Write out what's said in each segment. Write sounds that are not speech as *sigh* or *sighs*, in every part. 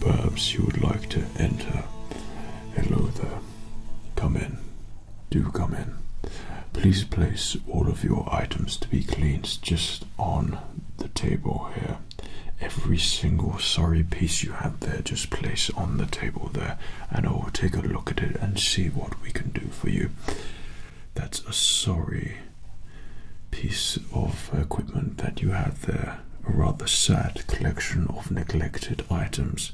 Perhaps you would like to enter. Hello there. Come in. Do come in. Please place all of your items to be cleaned just on the table here. Every single sorry piece you have there, just place on the table there and I'll take a look at it and see what we can do for you. That's a sorry piece of equipment that you have there. A rather sad collection of neglected items.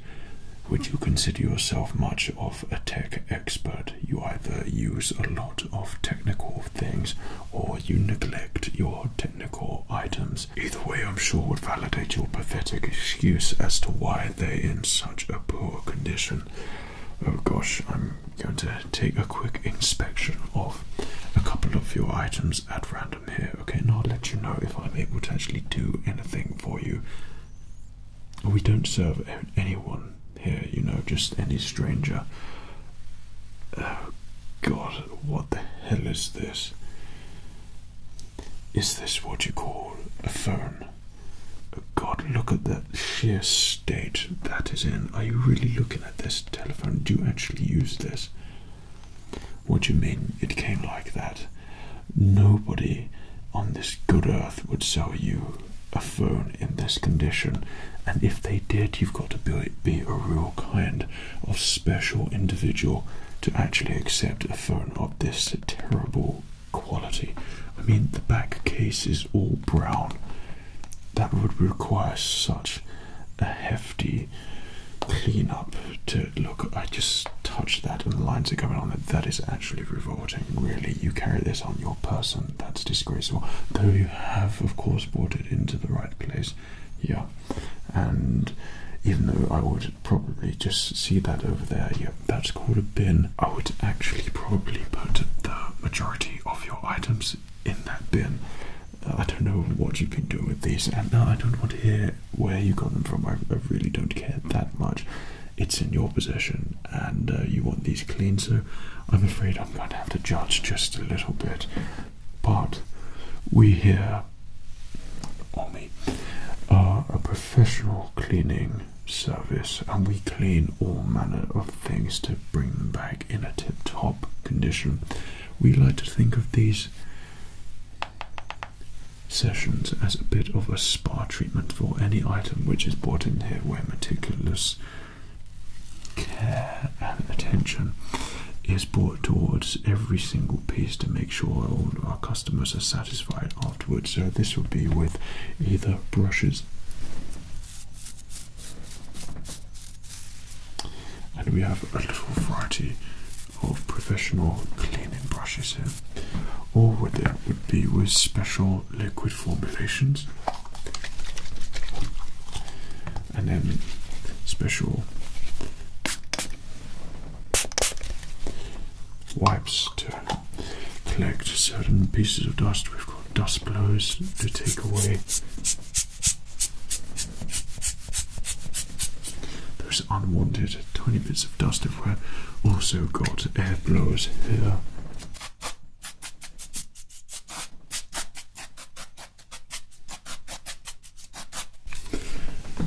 Would you consider yourself much of a tech expert? You either use a lot of technical things or you neglect your technical items. Either way, I'm sure would validate your pathetic excuse as to why they're in such a poor condition. Oh gosh, I'm going to take a quick inspection of a couple of your items at random here, okay? And I'll let you know if I'm able to actually do anything for you. We don't serve anyone here, you know, just any stranger. Oh god, what the hell is this? Is this what you call a phone? God, look at that sheer state that is in. Are you really looking at this telephone? Do you actually use this? What do you mean it came like that? Nobody on this good earth would sell you a phone in this condition, and if they did, you've got to be a real kind of special individual to actually accept a phone of this terrible quality. I mean, the back case is all brown. That would require such a hefty clean-up to look. I just touched that, and the lines are coming on it. That is actually revolting. Really, you carry this on your person. That's disgraceful. Though you have, of course, brought it into the right place. Yeah, and even though I would probably just see that over there, you that's called a bin. I would actually probably put the majority of your items in that bin. Uh, I don't know what you've been doing with these, and now uh, I don't want to hear where you got them from. I, really don't care that much. It's in your possession, and uh, you want these cleaned. so I'm afraid I'm going to have to judge just a little bit. But we here, on me, are a professional cleaning service and we clean all manner of things to bring them back in a tip top condition. We like to think of these sessions as a bit of a spa treatment for any item which is brought in here where meticulous care and attention is brought towards every single piece to make sure all our customers are satisfied, our so this would be with either brushes. And we have a little variety of professional cleaning brushes here. Or what that would be with special liquid formulations. And then special wipes too collect certain pieces of dust. We've got dust blows to take away those unwanted tiny bits of dust. If we've also got air blows here.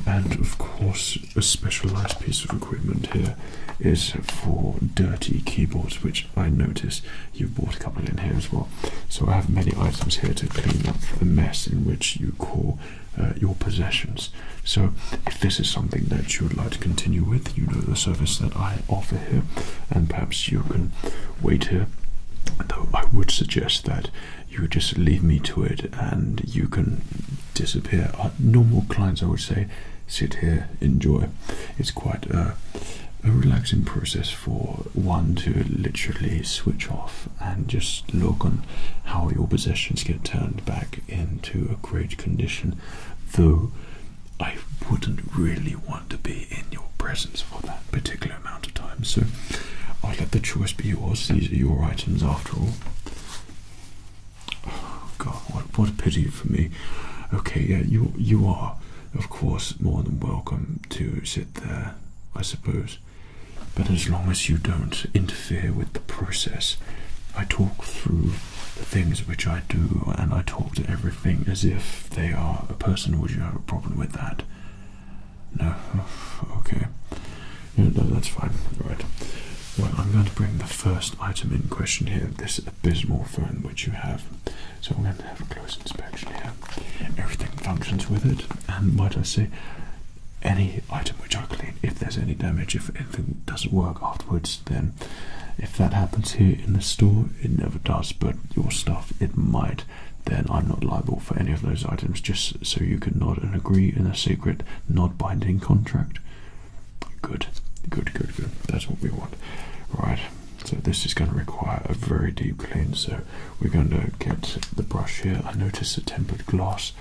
And of course, a specialized piece of equipment here is for dirty keyboards, which I notice you've bought a couple in here as well. So I have many items here to clean up the mess in which you call uh, your possessions. So if this is something that you would like to continue with, you know the service that I offer here, and perhaps you can wait here. Though I would suggest that you just leave me to it and you can disappear. Our uh, normal clients, I would say, sit here, enjoy. It's quite a, relaxing process for one to literally switch off and just look on how your possessions get turned back into a great condition. Though I wouldn't really want to be in your presence for that particular amount of time, so I'll let the choice be yours. These are your items after all. Oh, God, what what a pity for me. Okay, yeah, you you are, of course, more than welcome to sit there, I suppose. But as long as you don't interfere with the process, I talk through the things which I do, and I talk to everything as if they are a person. Would you have a problem with that? No. Oh, okay. no, that's fine. Right. Well, I'm going to bring the first item in question here this abysmal phone which you have. So we're going to have a close inspection here. Everything functions with it, and might I say, any item which I clean, if there's any damage, if anything doesn't work afterwards, then if that happens here in the store, it never does, but your stuff, it might. Then I'm not liable for any of those items, just so you can nod and agree in a secret, not binding contract. Good, good, good, good. That's what we want. Right, so this is going to require a very deep clean. So we're going to get the brush here. I notice the tempered glass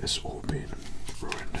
has all been ruined.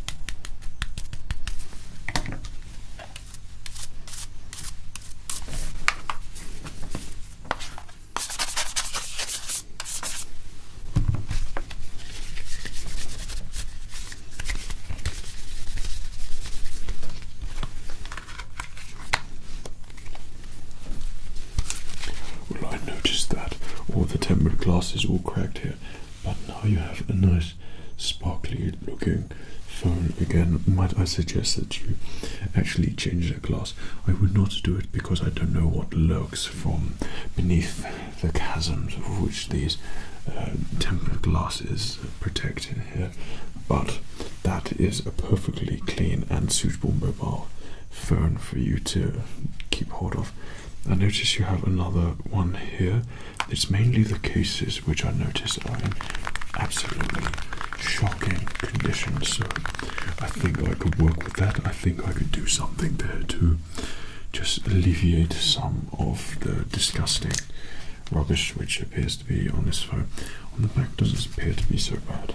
Well, I noticed that all the tempered glass is all cracked here but now you have a nice sparkly looking phone again. Might I suggest that you actually change the glass? I would not do it because I don't know what lurks from beneath the chasms of which these uh, tempered glasses protect in here. But that is a perfectly clean and suitable mobile phone for you to keep hold of. I notice you have another one here it's mainly the cases which I notice are in absolutely shocking conditions, So I think I could work with that. I think I could do something there to just alleviate some of the disgusting rubbish which appears to be on this phone. On the back doesn't appear to be so bad.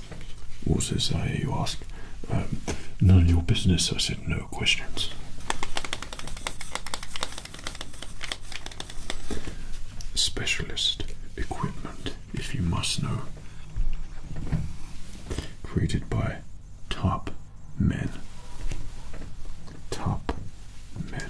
What's this you ask? Um, none of your business. I said no questions. Specialist equipment, if you must know. Created by top men. Top men.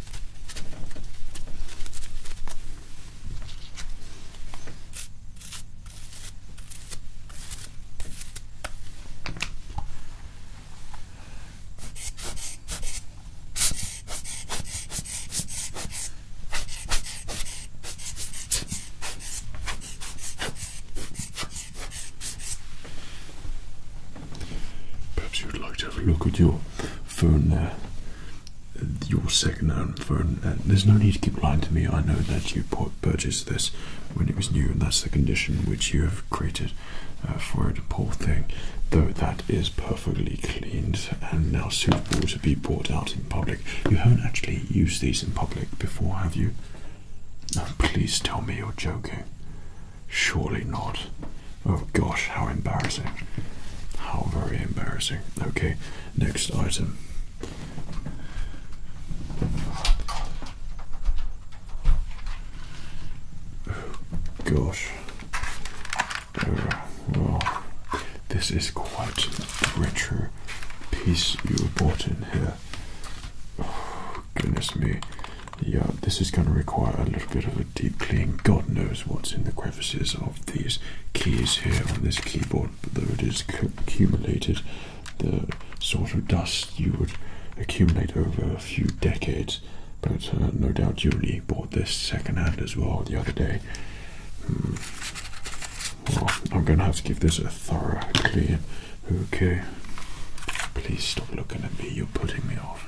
Perhaps you'd like to have a look at your phone, uh, your second-hand phone. Uh, there's no need to keep lying to me. I know that you purchased this when it was new, and that's the condition which you have created uh, for it. Poor thing, though that is perfectly cleaned and now suitable to be brought out in public. You haven't actually used these in public before, have you? please tell me you're joking. Surely not. Oh gosh, how embarrassing. How very embarrassing. Okay, next item. Oh gosh. Oh, this is quite a richer piece you brought in here. Oh, goodness me. Yeah, this is going to require a little bit of with deep clean. God knows what's in the crevices of these keys here on this keyboard, but though it is accumulated, the sort of dust you would accumulate over a few decades. But uh, no doubt you only bought this secondhand as well the other day. Hmm. I'm going to have to give this a thorough clean. Okay. Please stop looking at me. You're putting me off.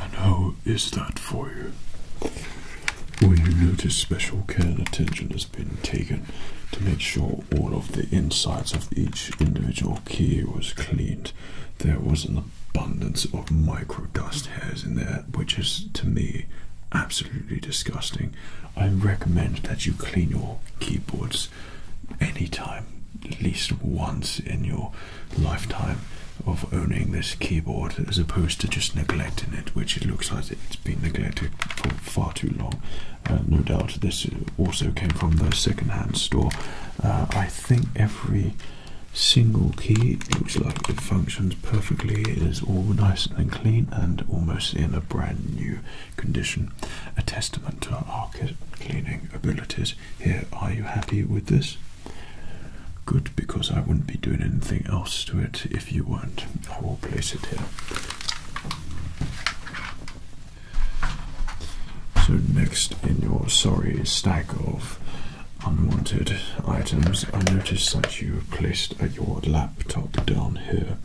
And how is that for you? Will you notice special care and attention has been taken to make sure all of the insides of each individual key was cleaned. There was an abundance of micro dust hairs in there, which is to me absolutely disgusting. I recommend that you clean your keyboards anytime, at least once in your lifetime of owning this keyboard as opposed to just neglecting it which it looks like it's been neglected for far too long uh, no doubt this also came from the second-hand store. Uh, I think every single key looks like it functions perfectly. It is all nice and clean and almost in a brand new condition. A testament to our cleaning abilities. Here, are you happy with this? Good, because I wouldn't be doing anything else to it if you weren't. I will place it here. So, next in your sorry stack of unwanted items, I noticed that you placed your laptop down here.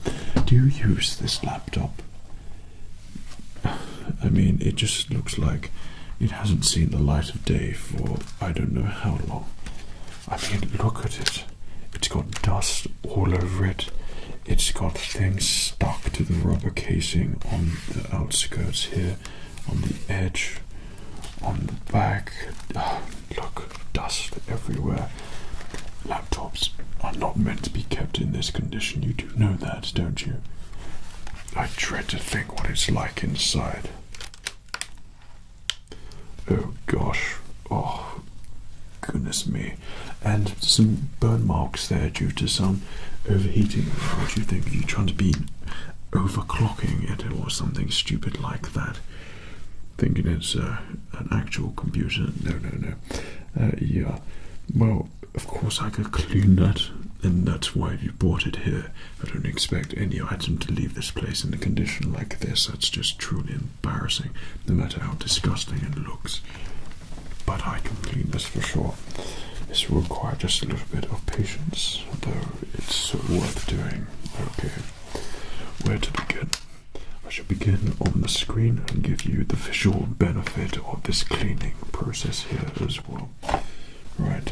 Do you use this laptop? *sighs* I mean, it just looks like it hasn't seen the light of day for I don't know how long. I mean, look at it. It's got dust all over it. It's got things stuck to the rubber casing on the outskirts here, on the edge, on the back. Ah, look, dust everywhere. Laptops are not meant to be kept in this condition. You do know that, don't you? I dread to think what it's like inside. Oh gosh. Oh, Goodness me. And some burn marks there due to some overheating. What do you think? Are you trying to be overclocking it or something stupid like that? Thinking it's uh, an actual computer? No, no, no. Uh, yeah. Well, of course I could clean that, and that's why you bought it here. I don't expect any item to leave this place in a condition like this. That's just truly embarrassing, no matter how disgusting it looks but I can clean this for sure. This will require just a little bit of patience, though it's worth doing. Okay, where to begin? I shall begin on the screen and give you the visual benefit of this cleaning process here as well. Right.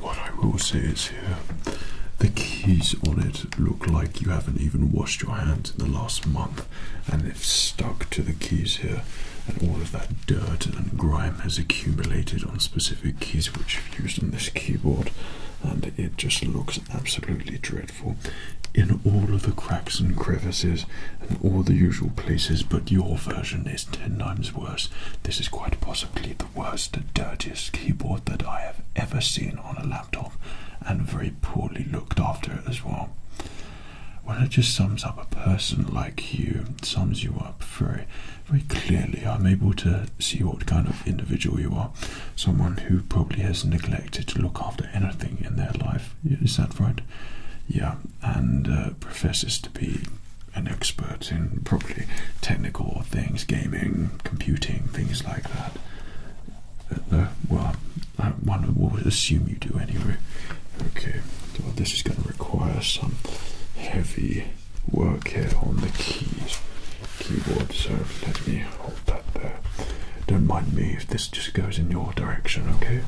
What I will say is here the keys on it look like you haven't even washed your hands in the last month and it's stuck to the keys here and all of that dirt and grime has accumulated on specific keys which you've used on this keyboard and it just looks absolutely dreadful in all of the cracks and crevices and all the usual places but your version is 10 times worse this is quite possibly the worst dirtiest keyboard that i have ever seen on a laptop and very poorly looked after as well. Well, it just sums up a person like you, it sums you up very, very clearly. I'm able to see what kind of individual you are. Someone who probably has neglected to look after anything in their life. Is that right? Yeah, and uh, professes to be an expert in probably technical things, gaming, computing, things like that that. Uh, well, I, we will assume you do anyway. Okay, so this is going to require some heavy work here on the keys, keyboard. So let me hold that there. Don't mind me if this just goes in your direction, okay?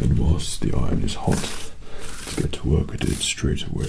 And whilst the iron is hot, get to work with it straight away.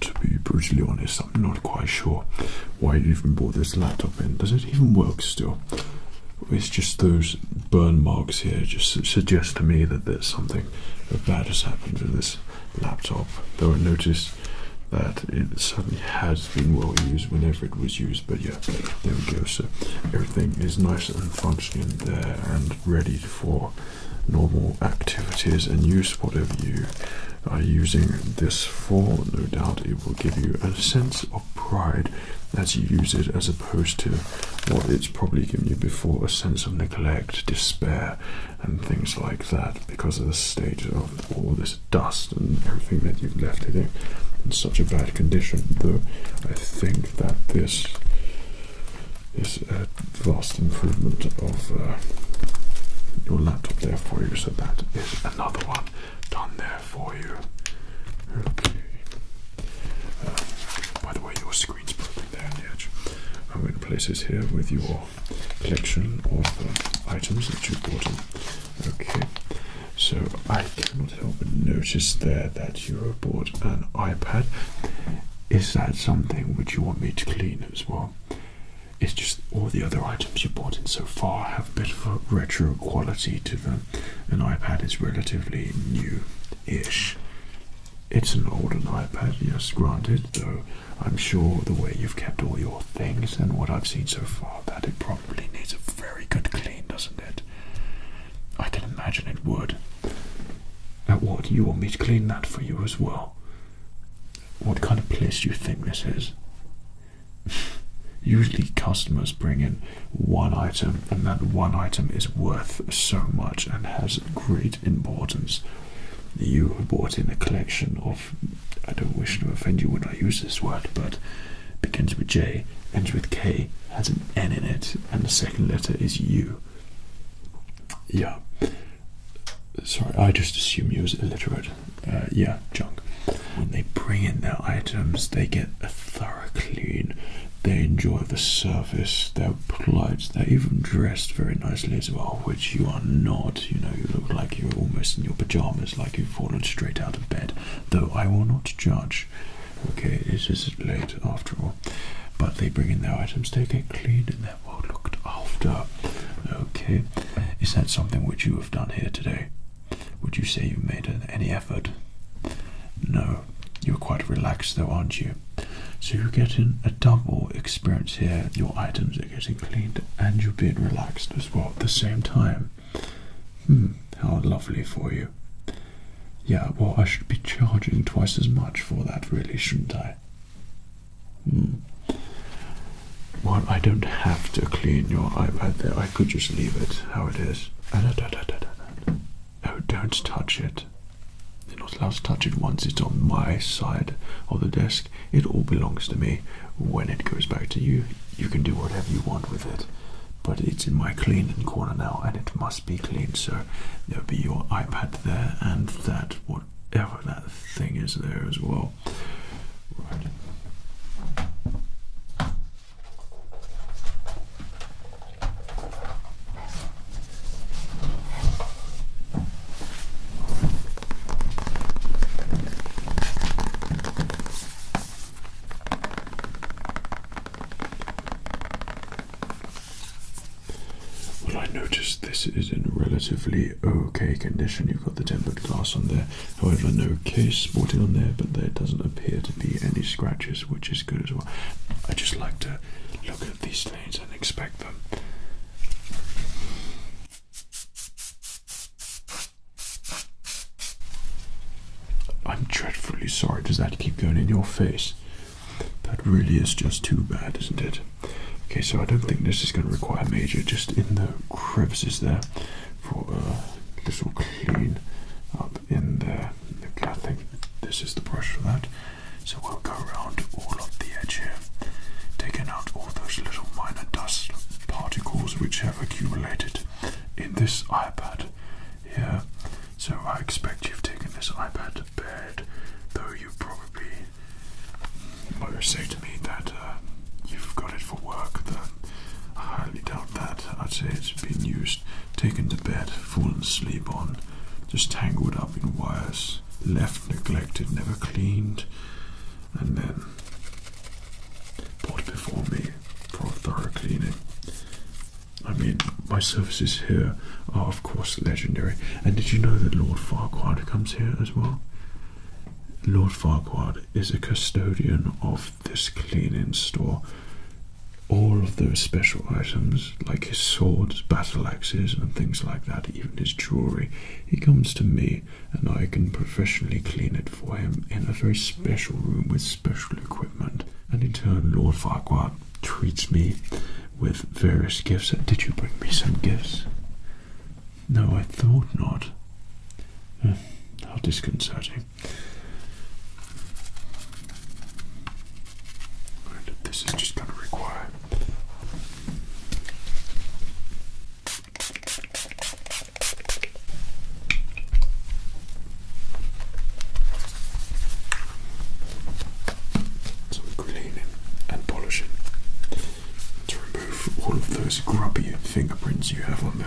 to be brutally honest, I'm not quite sure why you even brought this laptop in. Does it even work still? It's just those burn marks here just suggest to me that there's something bad has happened to this laptop. Though I noticed that it certainly has been well used whenever it was used but yeah there we go so everything is nice and functioning there and ready for normal activities and use whatever you are using this for no doubt it will give you a sense of pride as you use it as opposed to what it's probably given you before a sense of neglect despair and things like that because of the state of all this dust and everything that you've left it in in such a bad condition. Though I think that this is a vast improvement of uh, your laptop there for you. So that is another one done there for you. Okay. Uh, by the way, your screen's broken there on the edge. I'm going to place this here with your collection of uh, items that you have bought in Okay, so I cannot help but notice there that you have bought an iPad. Is that something which you want me to clean as well? It's just all the other items you bought in so far have a bit of a retro quality to them. An iPad is relatively new-ish. It's an older iPad, yes, granted, though I'm sure the way you've kept all your things and what I've seen so far that it probably needs a very good clean, doesn't it? I can imagine it would. Now, what? You want me to clean that for you as well? What kind of place do you think this is? *laughs* Usually, customers bring in one item, and that one item is worth so much and has great importance. You brought in a collection of. I don't wish to offend you when I use this word, but begins with J, ends with K, has an N in it, and the second letter is U. Yeah. Sorry, I just assume you was illiterate. Uh, yeah, junk. When they bring in their items, they get a thorough clean. They enjoy the service, they're polite, they're even dressed very nicely as well, which you are not. You know, you look like you're almost in your pajamas, like you've fallen straight out of bed. Though I will not judge. Okay, it is late after all. But they bring in their items, they get cleaned and they're well looked after. Okay. Is that something which you have done here today? Would you say you made any effort? No. You're quite relaxed though, aren't you? So you're getting a double experience here. Your items are getting cleaned and you're being relaxed as well at the same time. Hmm, how lovely for you. Yeah, well, I should be charging twice as much for that, really, shouldn't I? Hmm. Well, I don't have to clean your iPad there. I could just leave it how it is. Oh, don't touch it. You're not allowed to touch it once it's on my side of the desk. It all belongs to me. When it goes back to you, you can do whatever you want with it but it's in my cleaning corner now and it must be cleaned so there'll be your ipad there and that whatever that thing is there as well right well, I noticed this is in relatively okay condition. You've got the tempered glass on there, however, no case sporting on there, but there doesn't appear to be any scratches, which is good as well. I just like to look at these things and inspect them. I'm dreadfully sorry. Does that keep going in your face? That really is just too bad, isn't it? Okay, so I don't think this is going to require major, just in the crevices there for a uh, little clean up in the Okay, I think this is the brush for that. So we'll go around all of the edge here, taking out all those little minor dust particles which have accumulated in this iPad yeah, So I expect you've taken this iPad to bed, though you probably mm, might say to me that uh, you've got it for work. Then I highly doubt that. I'd say it's been used, taken to bed, fallen asleep on, just tangled up in wires, left neglected, never cleaned, and then brought before me for thorough cleaning. I mean, my services here are, of course, legendary. And did you know that Lord Farquhar comes here as well? Lord Farquhar is a custodian of this cleaning store. All of those special items, like his swords, battle axes, and things like that, even his jewelry, he comes to me and I can professionally clean it for him in a very special room with special equipment, and in turn, Lord Farquhar treats me with various gifts. Did you bring me some gifts? No, I thought not. Hmm, how disconcerting. this is just going to require. So cleaning and polishing to remove all of those grubby fingerprints you have on there.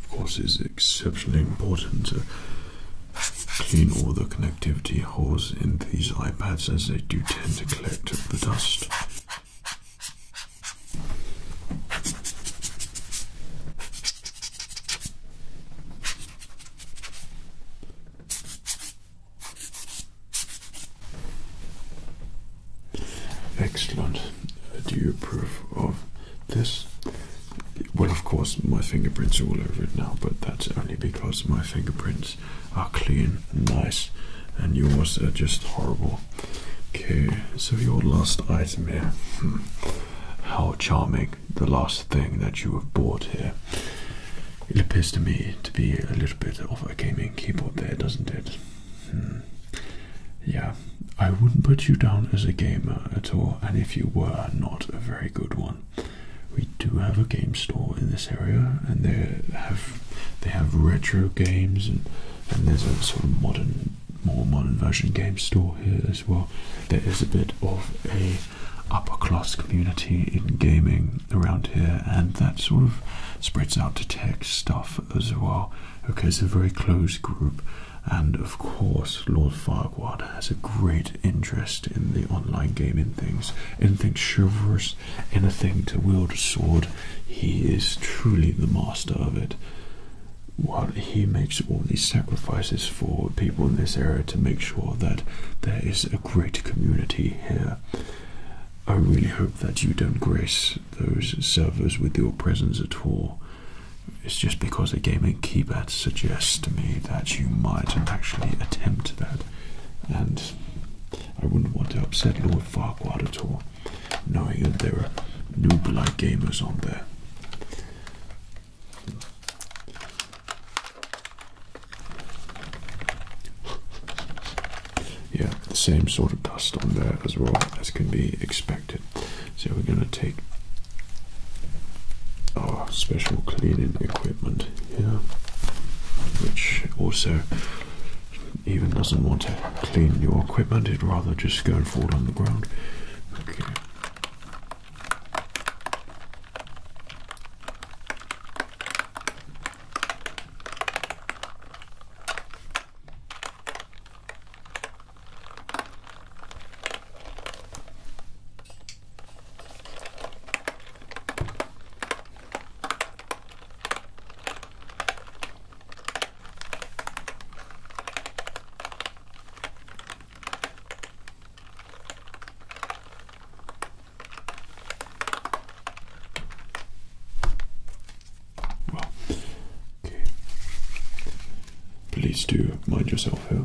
Of course, it's exceptionally important to clean all the connectivity holes in these iPads as they do tend to collect the dust. Excellent. Uh, do you approve of this? Well, of course, my fingerprints are all over it now, but that's only because my fingerprints are clean and nice, and yours are just horrible. Okay, so your last item here. Hmm. How charming the last thing that you have bought here. It appears to me to be a little bit of a gaming keyboard there, doesn't it? Hmm. Yeah, I wouldn't put you down as a gamer at all, and if you were, not a very good one. We do have a game store in this area, and they have they have retro games and, and there's a sort of modern more modern version game store here as well. There is a bit of a upper class community in gaming around here and that sort of spreads out to tech stuff as well. Okay, it's a very closed group and of course Lord Farquhar has a great interest in the online gaming things, in things chivalrous in a thing to wield a sword, he is truly the master of it. While he makes all these sacrifices for people in this area to make sure that there is a great community here. I really hope that you don't grace those servers with your presence at all. It's just because a gaming keypad suggests to me that you might actually attempt that. And I wouldn't want to upset Lord Farquhar at all, knowing that there are new like gamers on there. Yeah, the same sort of dust on there as well as can be expected. So we're going to take our special cleaning equipment here, which also even doesn't want to clean your equipment, it'd rather just go and fall on the ground. Well, okay. Please do mind yourself here.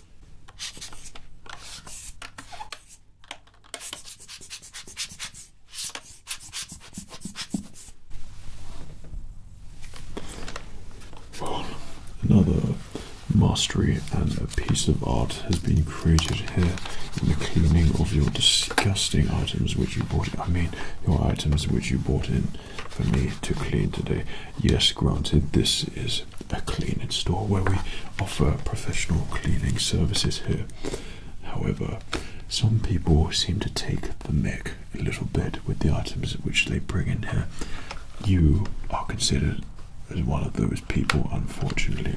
another mastery and a piece of art has been created here in the cleaning of your disgusting items which you bought. I mean, your items which you bought in for me to clean today. Yes, granted, this is a cleaning store where we offer professional cleaning services here. However, some people seem to take the mic a little bit with the items which they bring in here. You are considered as one of those people, unfortunately.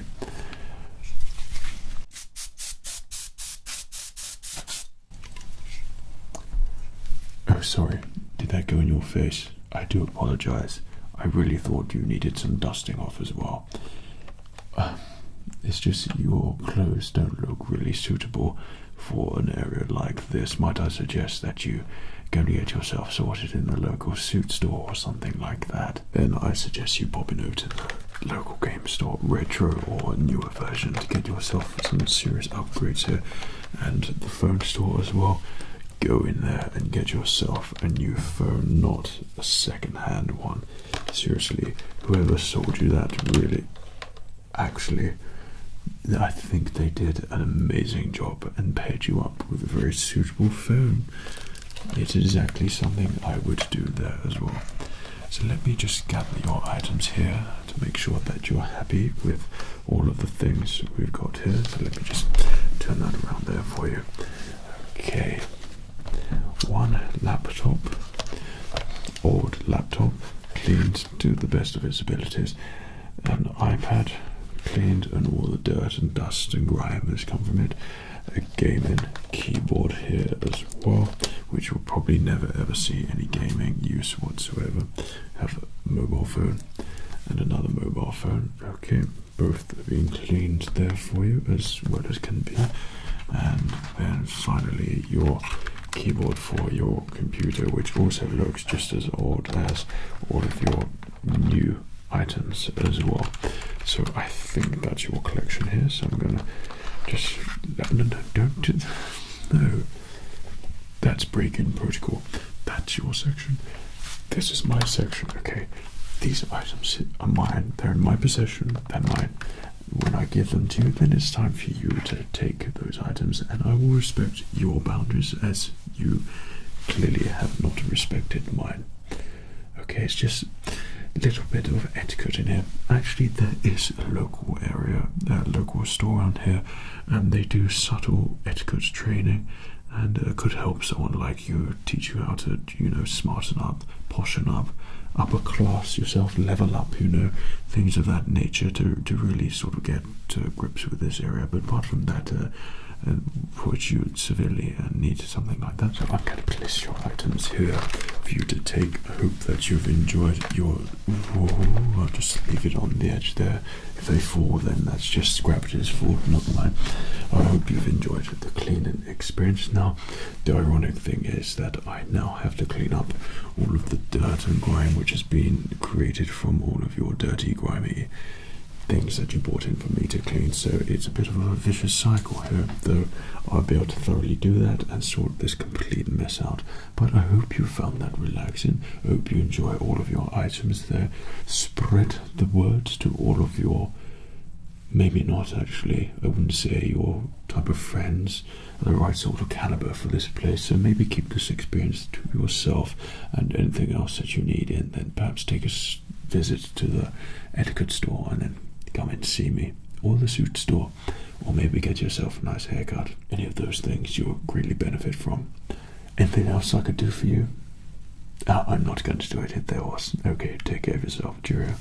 Oh, sorry, did that go in your face? I do apologize. I really thought you needed some dusting off as well. Um, it's just your clothes don't look really suitable for an area like this. Might I suggest that you go and get yourself sorted in the local suit store or something like that? Then I suggest you popping over to the local game store, retro or newer version, to get yourself some serious upgrades here, and the phone store as well go in there and get yourself a new phone, not a second-hand one. Seriously, whoever sold you that really, actually, I think they did an amazing job and paired you up with a very suitable phone. It's exactly something I would do there as well. So let me just gather your items here to make sure that you're happy with all of the things we've got here. So let me just turn that around there for you. Okay, one laptop, old laptop, cleaned to the best of its abilities. An iPad, cleaned, and all the dirt and dust and grime that's come from it. A gaming keyboard here as well, which will probably never ever see any gaming use whatsoever. Have a mobile phone and another mobile phone. Okay, both being cleaned there for you as well as can be. And then finally, your keyboard for your computer, which also looks just as old as all of your new items as well. So I think that's your collection here. So I'm gonna just no, no, don't do, no. That's breaking protocol. That's your section. This is my section, okay? These items are mine, they're in my possession, they're mine. When I give them to you, then it's time for you to take those items, and I will respect your boundaries as you clearly have not respected mine. Okay, it's just a little bit of etiquette in here. Actually, there is a local area, a local store around here, and they do subtle etiquette training and uh, could help someone like you, teach you how to, you know, smarten up, portion up, upper class yourself, level up, you know, things of that nature to, to really sort of get to grips with this area. But apart from that, uh, uh severely uh, need something like that. So I'm going to place your items here for you to take. I hope that you've enjoyed your. I'll just leave it on the edge there. If they fall, then that's just scrap gravity's fault, not mine. I hope you've enjoyed the cleaning experience. Now, the ironic thing is that I now have to clean up all of the dirt and grime which has been created from all of your dirty, grimy things that you brought in for me to clean. So it's a bit of a vicious cycle here, though I'll be able to thoroughly do that and sort this complete mess out. But I hope you found that relaxing. hope you enjoy all of your items there. Spread the words to all of your maybe not actually i wouldn't say your type of friends are the right sort of caliber for this place so maybe keep this experience to yourself and anything else that you need and then perhaps take a visit to the etiquette store and then come and see me or the suit store or maybe get yourself a nice haircut any of those things you'll greatly benefit from Anything else I could do for you? Ah, I'm not going to do it if there was. Okay, take care of yourself. Cheerio.